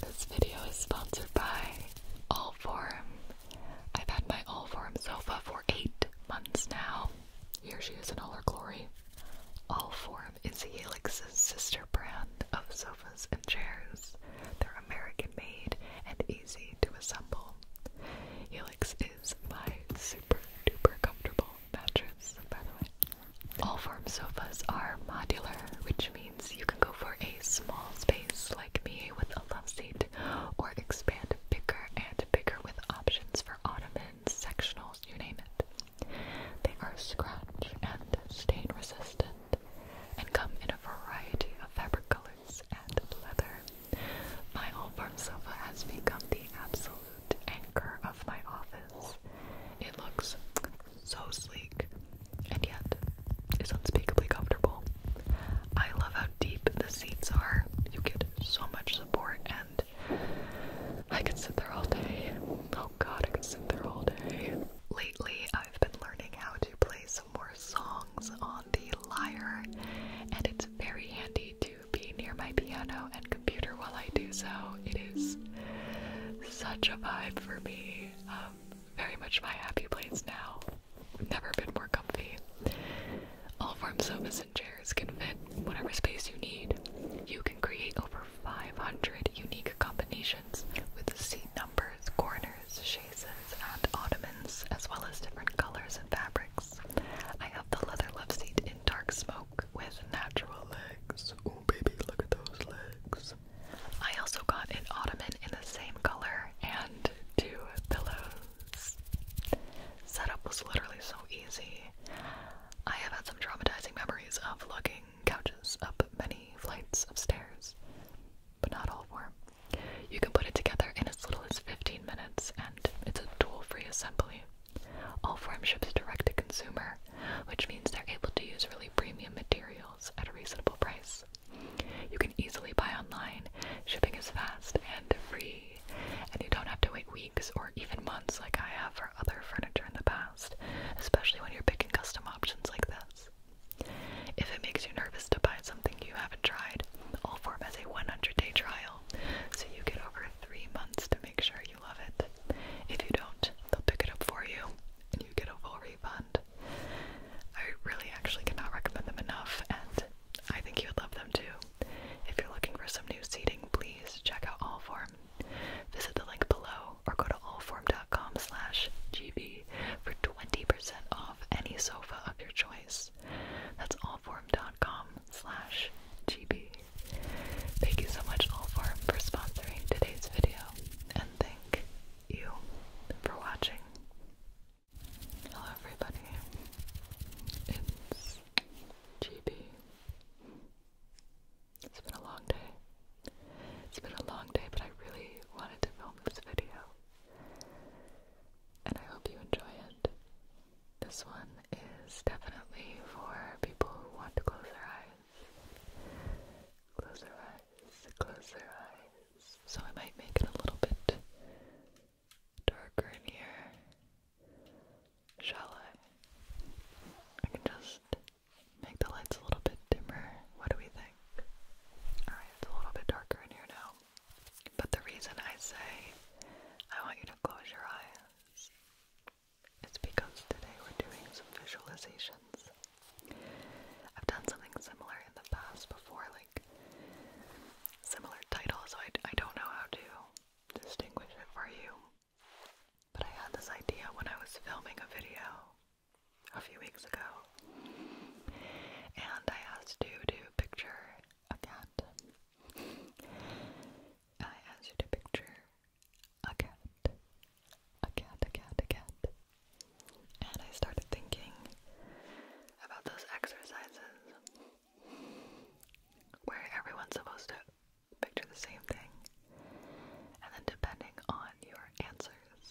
This video is sponsored by Allform. I've had my Allform sofa for eight months now. Here she is in all her glory. Allform is Helix's sister brand of sofas and chairs. They're American made and easy to assemble. Helix is my super duper comfortable mattress, by the way. All form sofas are modular, which means you can go for a small space like me with a love seat, or expand bigger and bigger with options for ottomans, sectionals, you name it. They are scratch and stain resistant and come in a variety of fabric colors and leather. My whole form sofa has become the absolute anchor of my office. It looks so sleek, and yet is unspeakably comfortable. I love how deep the seats are. You get so much support, and I can sit there all day. Oh god, I can sit there all day. Lately, I've been learning how to play some more songs on the lyre, and it's very handy to be near my piano and computer while I do so. It is such a vibe for me very much my happy place now. never been more comfy. All farm sofas and chairs can fit whatever space you need. You can create over 500 unique combinations with seat numbers, corners, chaises, and ottomans, as well as different colors and fabrics. I have the leather love seat in dark smoke with natural legs. Ooh, baby, look at those legs. I also got an ottoman in the same color and two pillows. Setup was literally so easy. I have had some traumatizing memories of lugging couches up many flights of stairs, but not all four. You can put it together in as little as 15 minutes, and it's a tool free assembly. All form ships direct to consumer which means they're able to use really premium materials at a reasonable price. You can easily buy online, shipping is fast and free, and you don't have to wait weeks or even months like I have for other furniture in the past, especially when you're picking custom options like this. If it makes you nervous to buy something you haven't tried, all form has a 100 day trial, so you get over three months to make sure you love it. If you don't, they'll pick it up for you and you get a full refund. I really actually cannot recommend them enough, and I think you would love them too. If you're looking for some new seating, please check out Allform. Visit the link below or go to allform.com slash gb for 20% off any sofa of your choice. That's allform.com slash gb. Thank you so much, all Allform, for sponsoring today's video, and thank you for watching. Hello, everybody. It's GB. It's been a long day. It's been a long day, but I really wanted to film this video. And I hope you enjoy it. This one is definitely for people who want to close their eyes. Close their eyes, close their eyes. So I might make it a little bit darker in here. Shall I? I can just make the lights a little bit dimmer. What do we think? Alright, it's a little bit darker in here now. But the reason I say I want you to close your eyes it's because today we're doing some visualizations. I've done something similar in the past before, like similar titles, so I, I don't know how to distinguish it for you. But I had this idea when I was filming a video a few weeks ago, and I asked you to picture a cat. I asked you to picture a cat, a cat, a cat, a cat. And I started thinking about those exercises where everyone's supposed to picture the same thing, and then depending on your answers,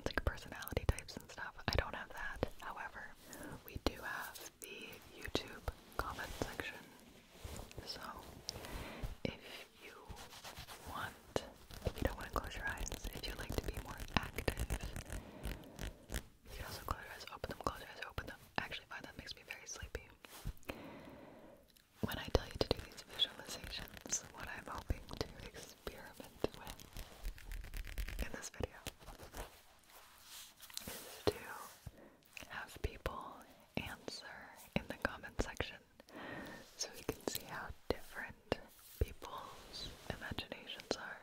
it's like personality types and stuff. I don't have that, however, we do have the YouTube comment section so, if you want, you don't want to close your eyes, if you like to be more active, you can also close your eyes, open them, close your eyes, open them. Actually, why that makes me very sleepy. When I tell you to do these visualizations, what I'm hoping to experiment with in this video is to have people answer in the comment section so we can see how different people's imaginations are.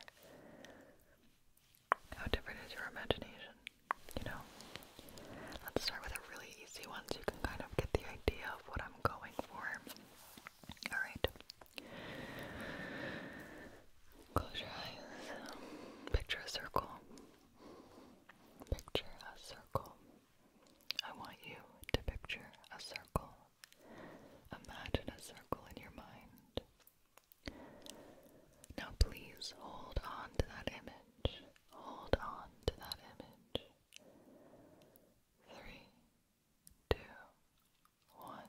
How different is your imagination? You know? Let's start with a really easy one so you can kind of get the idea of what I'm going for. Alright. Close your eyes. Picture a circle. Picture a circle. I want you to picture a circle. Imagine a circle in your mind. Now, please hold on to that image. Hold on to that image. Three, two, one.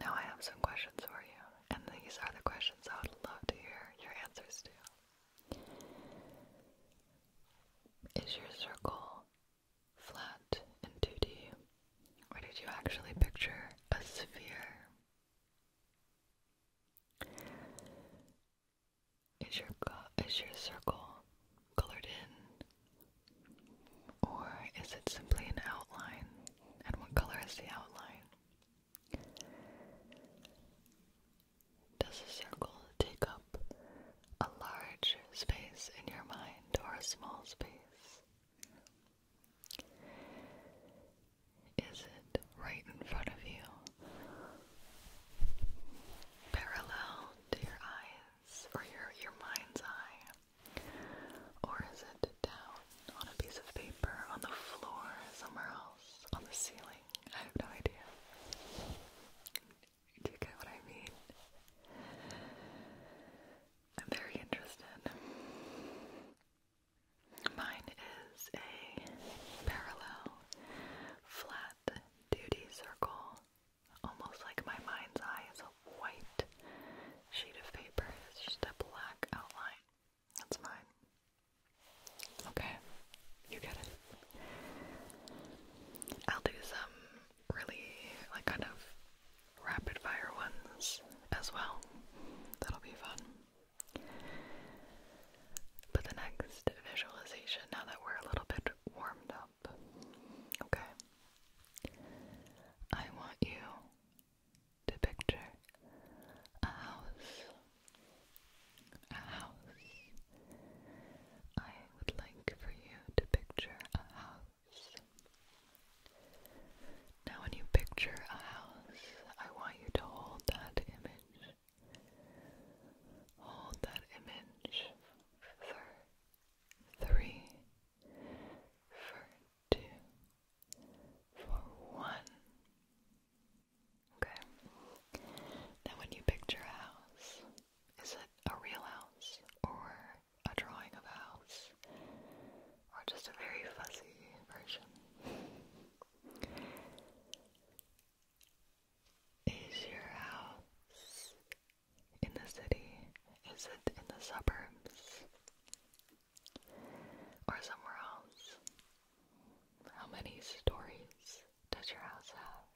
Now, I have some questions for you, and these are the questions I would love to hear your answers to. Is your circle flat and 2D, or did you actually picture a sphere? Is your is your circle colored in, or is it simply an outline? And what color is the outline? Does a circle take up a large space in your mind or a small space? Is it right in front of you? Parallel to your eyes or your, your mind's eye? Or is it down on a piece of paper on the floor somewhere else? on the ceiling. I have no idea. Do you get what I mean? I'm very interested. Mine is a parallel flat duty circle. Almost like my mind's eye is a white sheet of paper. It's just a black outline. That's mine. Okay, you get it. I'll do some really, like, kind of rapid fire ones as well. That'll be fun. But the next visualization, now that we're a little bit warmed up, okay, I want you to picture a house. A house. I would like for you to picture a house. Now, when you picture a house, I want you to hold that image. Hold that image for three, for two, for one. Okay. Now, when you picture a house, is it a real house or a drawing of a house or just a very fuzzy version? Is your house in the city? Is it in the suburbs? or somewhere else? How many stories does your house have?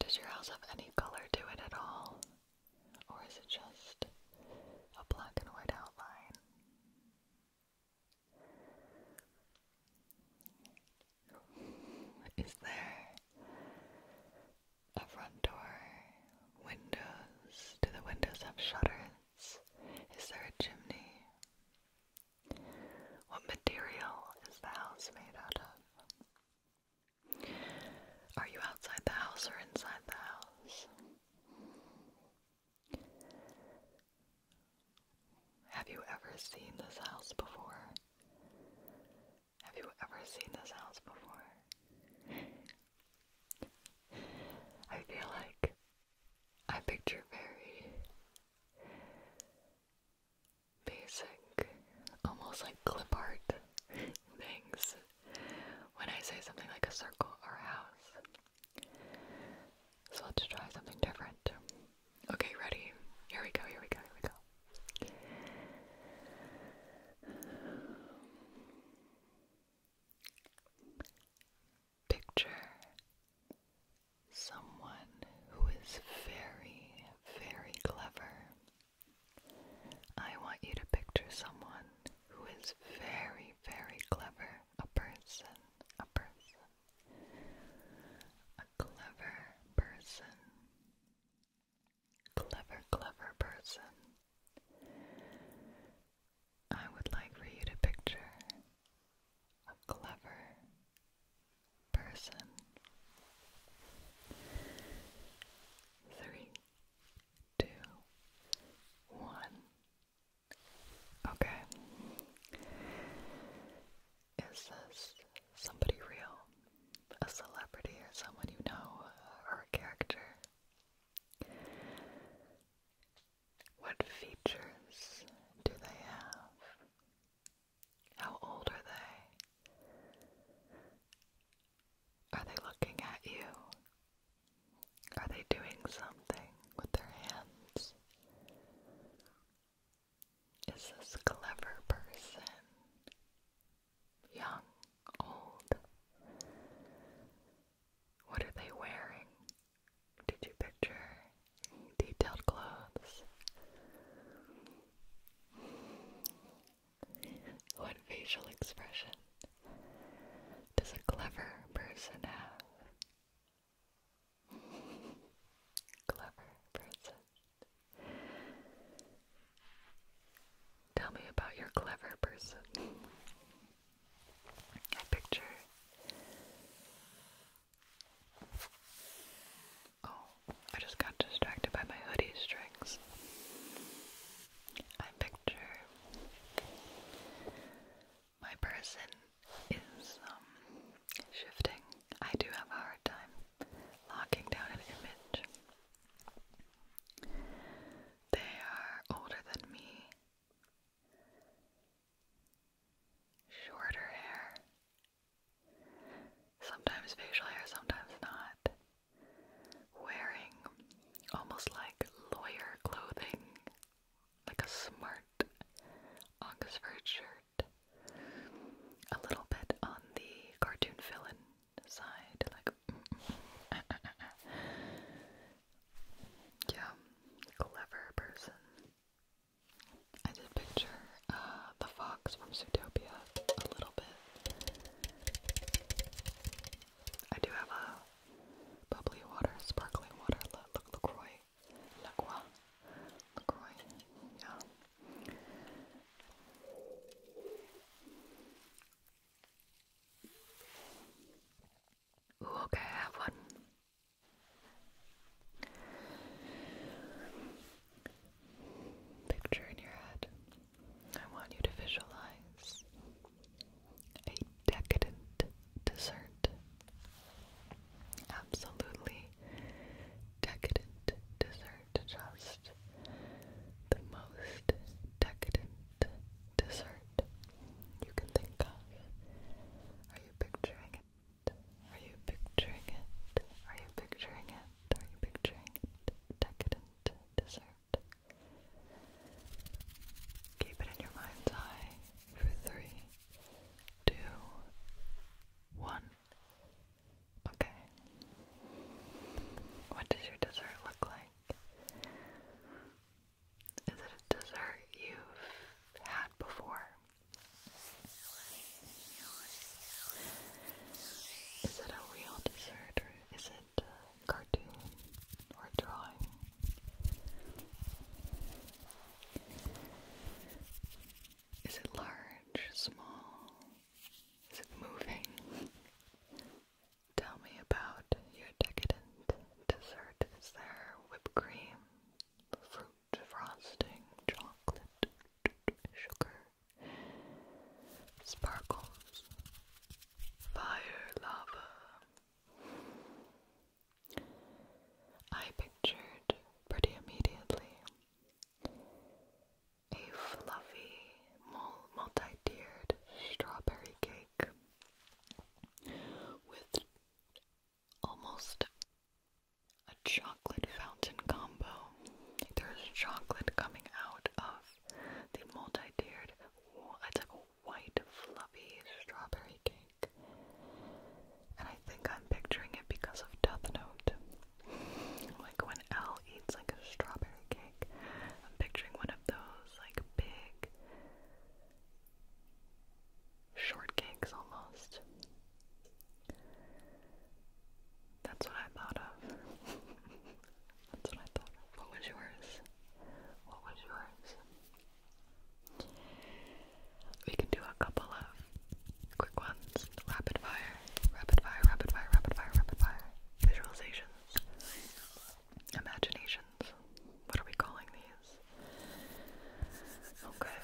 Does your house have any color to it at all? Or is it just a black and white outline? Is there a front door? Windows? Do the windows have shutters? Is there a chimney? What material is the house made out of? Are you outside the house or inside the house? Have you ever seen this house before? Have you ever seen this house before? I feel like I picture very basic, almost like clip art things when I say something like a circle or a house. So let's try something different. Okay, ready? Here we go, here we go, here we go. Picture someone who is very, very clever. I want you to picture someone who is very, very clever. A person, a person, a clever person, clever, clever person. I would like for you to picture a clever person. Three, two, one. Okay. Is this somebody real? A celebrity or someone you know or a character? What features do they have? How old are they? Are they looking at you? Are they doing something with their hands? Is this clever person? Young, old? What are they wearing? Did you picture detailed clothes? What facial expression does a clever person have? Clever person. Tell me about your clever person. I picture. Oh, I just got distracted by my hoodie strings. I picture my person is um, shifting. I do have a hard time locking down an image. They are older than me. Shorter hair. Sometimes facial hair, sometimes not. Wearing almost like lawyer clothing, like a smart Oxford shirt. A little bit on the cartoon villain Decide like yeah, clever person. I did picture uh, the fox from Zootopia a little bit. I do have a bubbly water, sparkling water, LaCroix, LaCroix, LaCroix, yeah. Ooh, okay, I have one. Picture in your head. I want you to visualize a decadent dessert. Absolutely decadent dessert. Just the most decadent dessert you can think of. Are you picturing it? Are you picturing it? Are you picturing it? Are you picturing it? Decadent dessert. Keep it in your mind's eye for three, two, one. Okay. What does your dessert look like? is it a dessert you've had before? Is it a real dessert or is it a cartoon or drawing? Is it large, small? Is it moving? Tell me about your decadent dessert. Is there whipped cream, fruit frosting, chocolate, sugar, sparkles, fire, lava? I pictured pretty immediately a fluffy, multi-tiered strawberry cake with almost a chocolate fountain combo. There's chocolate coming out of the multi-tiered, it's like a white, fluffy strawberry cake. And I think I'm picturing it because of Death Note. Like when Elle eats like a strawberry cake big. I'm picturing one of those like big shortcakes almost. That's what I thought of. That's what I thought of. What was yours? What was yours? We can do a couple of quick ones. Rapid fire, rapid fire, rapid fire, rapid fire, rapid fire. Visualization. Imaginations. What are we calling these? Okay.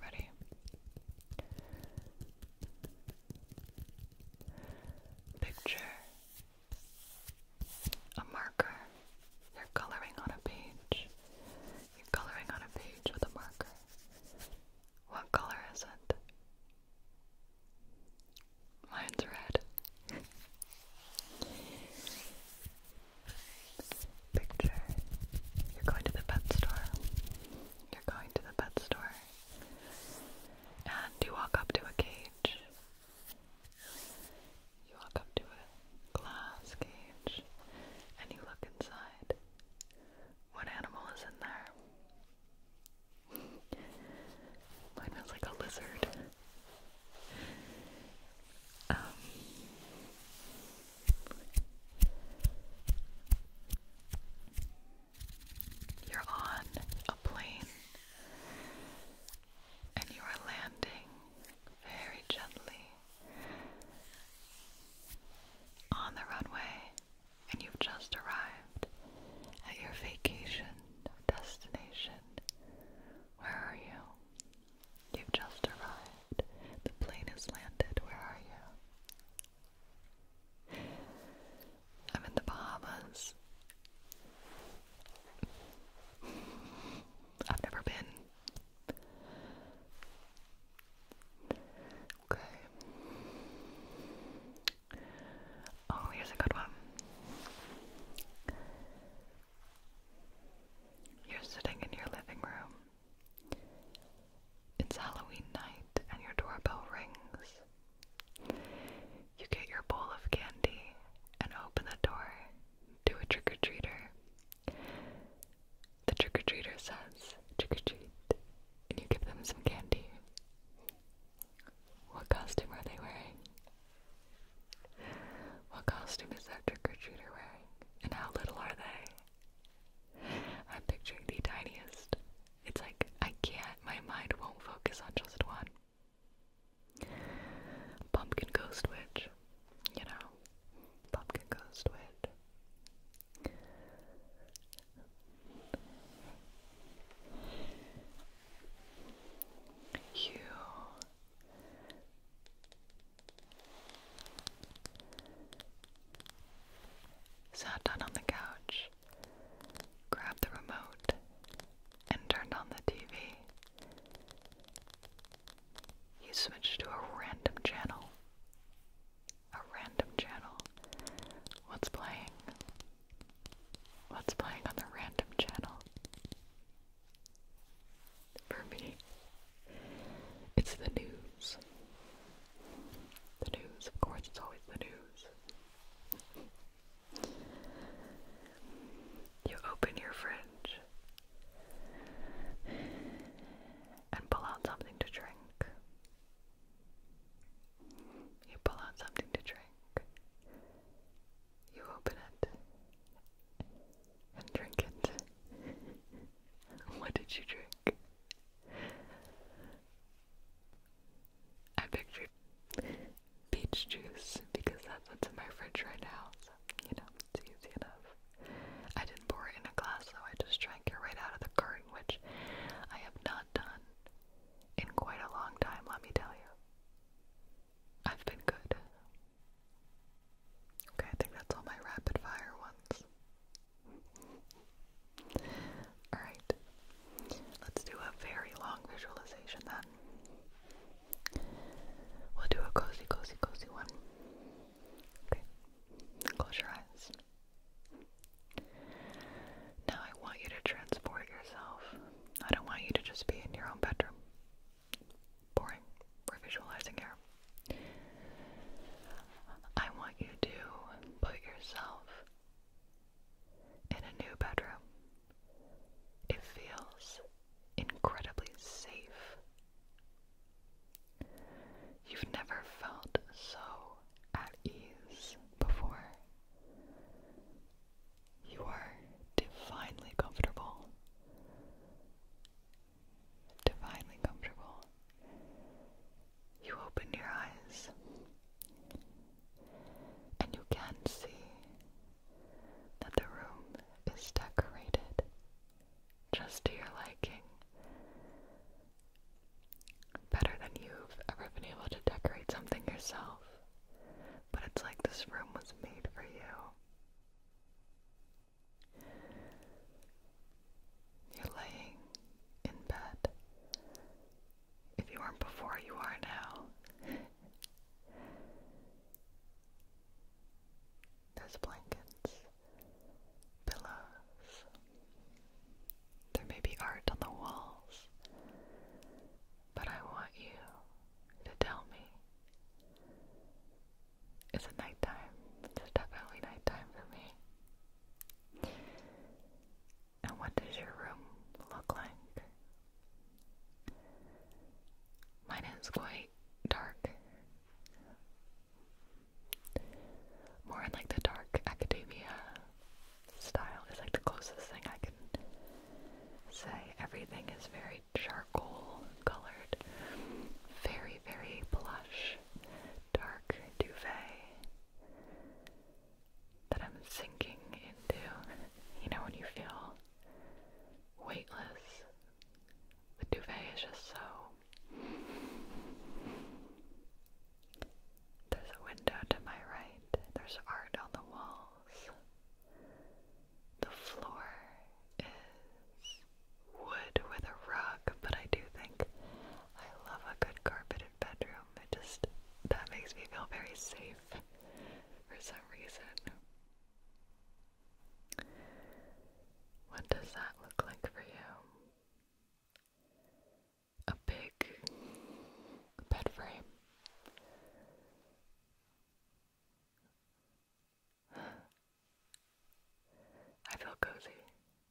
Ready? Picture a marker. You're coloring on a page. You're coloring on a page with a marker. What color is it? Mine's red. Picture. You're going to the pet store. You're going to the pet store. And you walk up to a cage. You walk up to a glass cage and you look inside. What animal is in there? Mine was like a lizard. Um, you're on a plane and you are landing very gently on the runway and you've just arrived at your vacation destination. Where are you? You've just arrived. The plane has landed. Where are you? I'm in the Bahamas. I've never been. Okay. Oh, here's a good one. You're sitting in your living room. It's Halloween night and your doorbell rings. You get your bowl of candy and open the door to a trick or treater the trick-or-treater says, trick-or-treat, and you give them some candy. What costume are they wearing? What costume is that trick-or-treater wearing? And how little are they? I'm picturing the tiniest. It's like, I can't, my mind won't focus on just one. Pumpkin Ghost Witch, you know, Pumpkin Ghost Witch. You sat down on the couch, grabbed the remote, and turned on the TV. You switched to a random channel. A random channel. What's playing? What's playing on the random channel? For me, it's the news. The news, of course, it's always the news. You open your fridge and pull out something to drink. You pull out something to drink. You open it and drink it. what did you drink? I pictured peach juice because that's what's in my fridge right now, so you know, it's easy enough. I didn't pour it in a glass though, I just drank it right out of the carton, which I have not done in quite a long time, let me tell you. I've been good. Okay, I think that's all my rapid fire ones. Alright, let's do a very long visualization then. We'll do a cozy, cozy, cozy one. Okay, close your eyes. Now I want you to transport yourself. I don't want you to just be in your own bedroom. Boring. We're visualizing here. I want you to put yourself in a new bedroom. It feels incredibly safe You've never felt so at ease before. You are divinely comfortable. Divinely comfortable. You open your eyes and you can see that the room is decorated just to your liking. Better than you've ever been able to decorate something yourself. But it's like this room was made for you. you laying in bed. If you weren't before, you are now. There's blankets pillows. There may be art on the walls, but I want you to tell me. Is it nighttime? It's definitely nighttime for me. And what does your room look like? Mine is quite dark. More in like the dark academia style is like the closest thing I can say. Everything is very charcoal colored, very, very plush, dark duvet that I'm sinking into. You know, when you feel weightless the duvet is just so. There's a window to my right, there's art on the walls. The floor is wood with a rug, but I do think I love a good carpeted bedroom. It just that makes me feel very safe for some reason. What does that look like for you? A big bed frame. I feel cozy,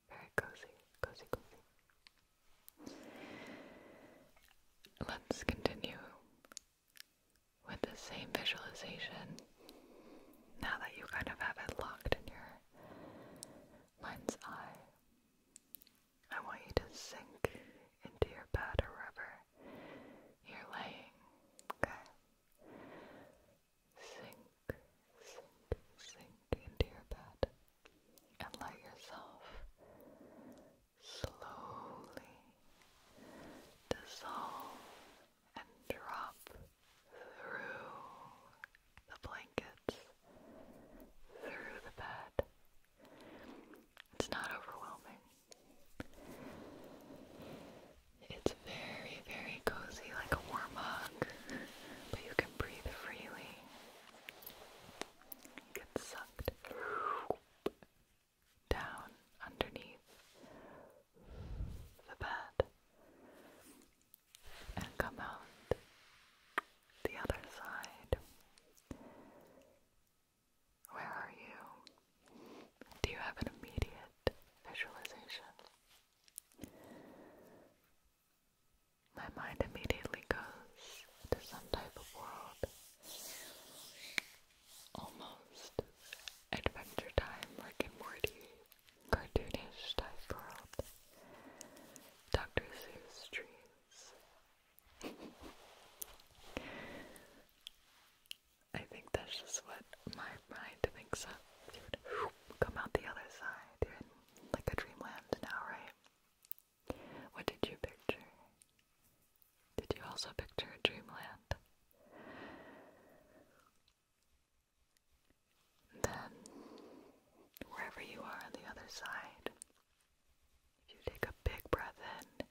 very cozy, cozy, cozy. Let's continue with the same visualization now that you kind of have it locked in your mind's eye, I want you to sink into your bed or wherever you're laying, okay? Sink, sink, sink into your bed and let yourself slowly dissolve and drop through the blankets, through the bed. It's not overwhelming. It's very, very cozy, like a warm hug, but you can breathe freely. You get sucked down underneath the bed and come out the other side. Where are you? Do you have an immediate visualization? My mind immediately goes to some type of world almost Adventure Time, Rick and Morty, cartoonish type world, Dr. Seuss trees. I think that's just what my mind thinks of. You would come out the other side. You're in like a dreamland now, right? What did you picture? Did you also picture a dreamland? Then, wherever you are on the other side, if you take a big breath in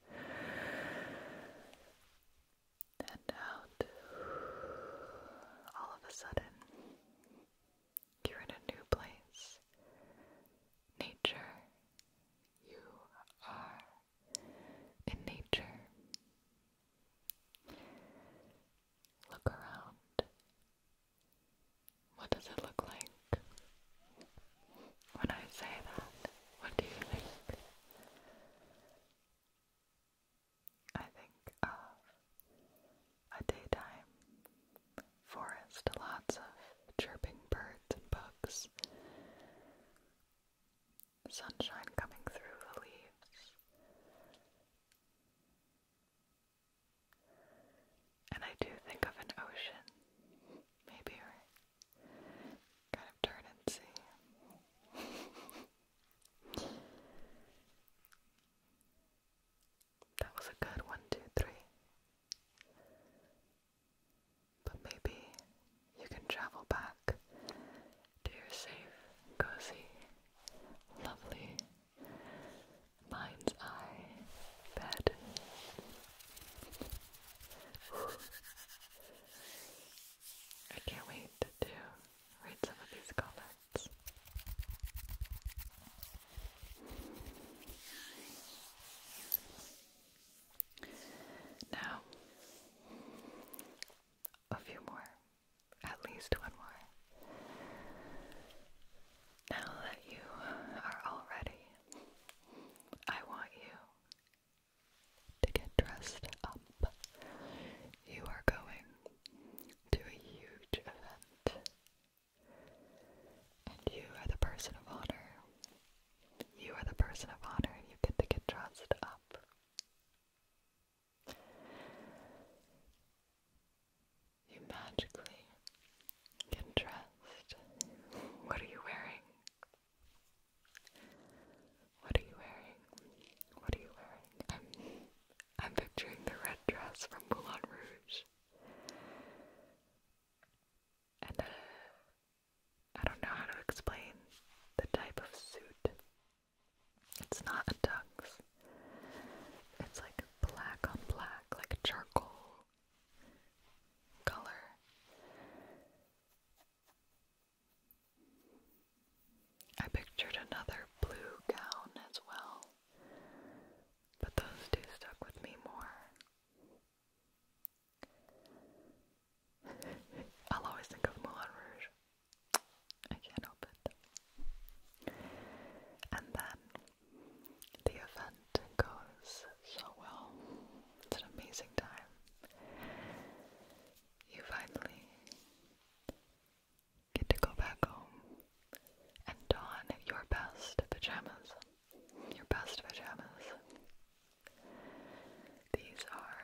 and out, all of a sudden, you're in a new place. Nature. You are in nature. Look around. What does it look like? When I say that, what do you think? I think of a daytime forest, lots of chirping birds and bugs, sunshine coming through the leaves. And I do think of an ocean. Maybe kind of turn and see. that was a good one, two, three. But maybe you can travel back to your safe, cozy, lovely mind's eye bed. I can't wait to read some of these comments. Now, a few more. At least one more. Now that you are all ready, I want you to get dressed up. You are going to a huge event. And you are the person of honor. You are the person of honor. You get to get dressed up. You magically get dressed. What are you wearing? What are you wearing? What are you wearing? I'm, I'm picturing the red dress from Moulin Rouge. And uh, I don't know how to explain the type of suit it's not a tux. It's like black on black, like a charcoal color. I pictured another blue gown as well, but those two stuck with me more. I'll always think of Moulin Rouge. I can't help it. And then the event goes so well. It's an amazing time. You finally get to go back home and don your best pajamas. Your best pajamas. These are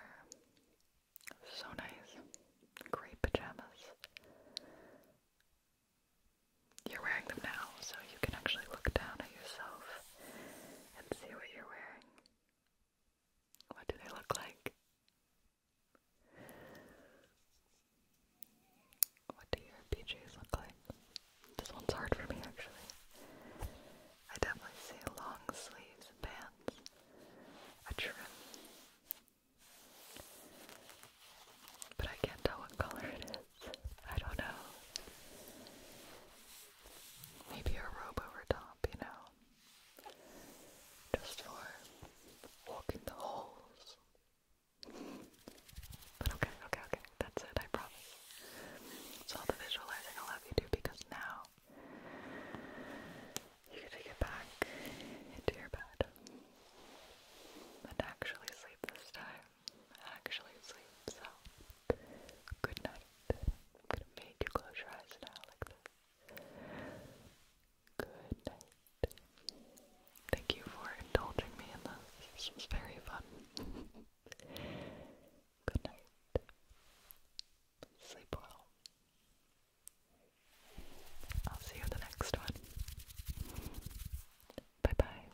so nice. Great pajamas. You're wearing them now, so you can actually look down at yourself and see what you're wearing. What do they look like? What do your PJs look like? This one's hard for me actually. I definitely see long sleeves pants a trim. But I can't tell what color it is. I don't know. Maybe a robe over top, you know? Just for walking the halls. But okay, okay, okay. That's it, I promise. So all the visualizing I'll have you do because now you're to get back into your bed and actually sleep this time. Actually sleep. So, good night. I'm gonna make you close your eyes now like this. Good night. Thank you for indulging me in this. This was very fun. good night. Sleep well. I'll see you the next one. Bye bye.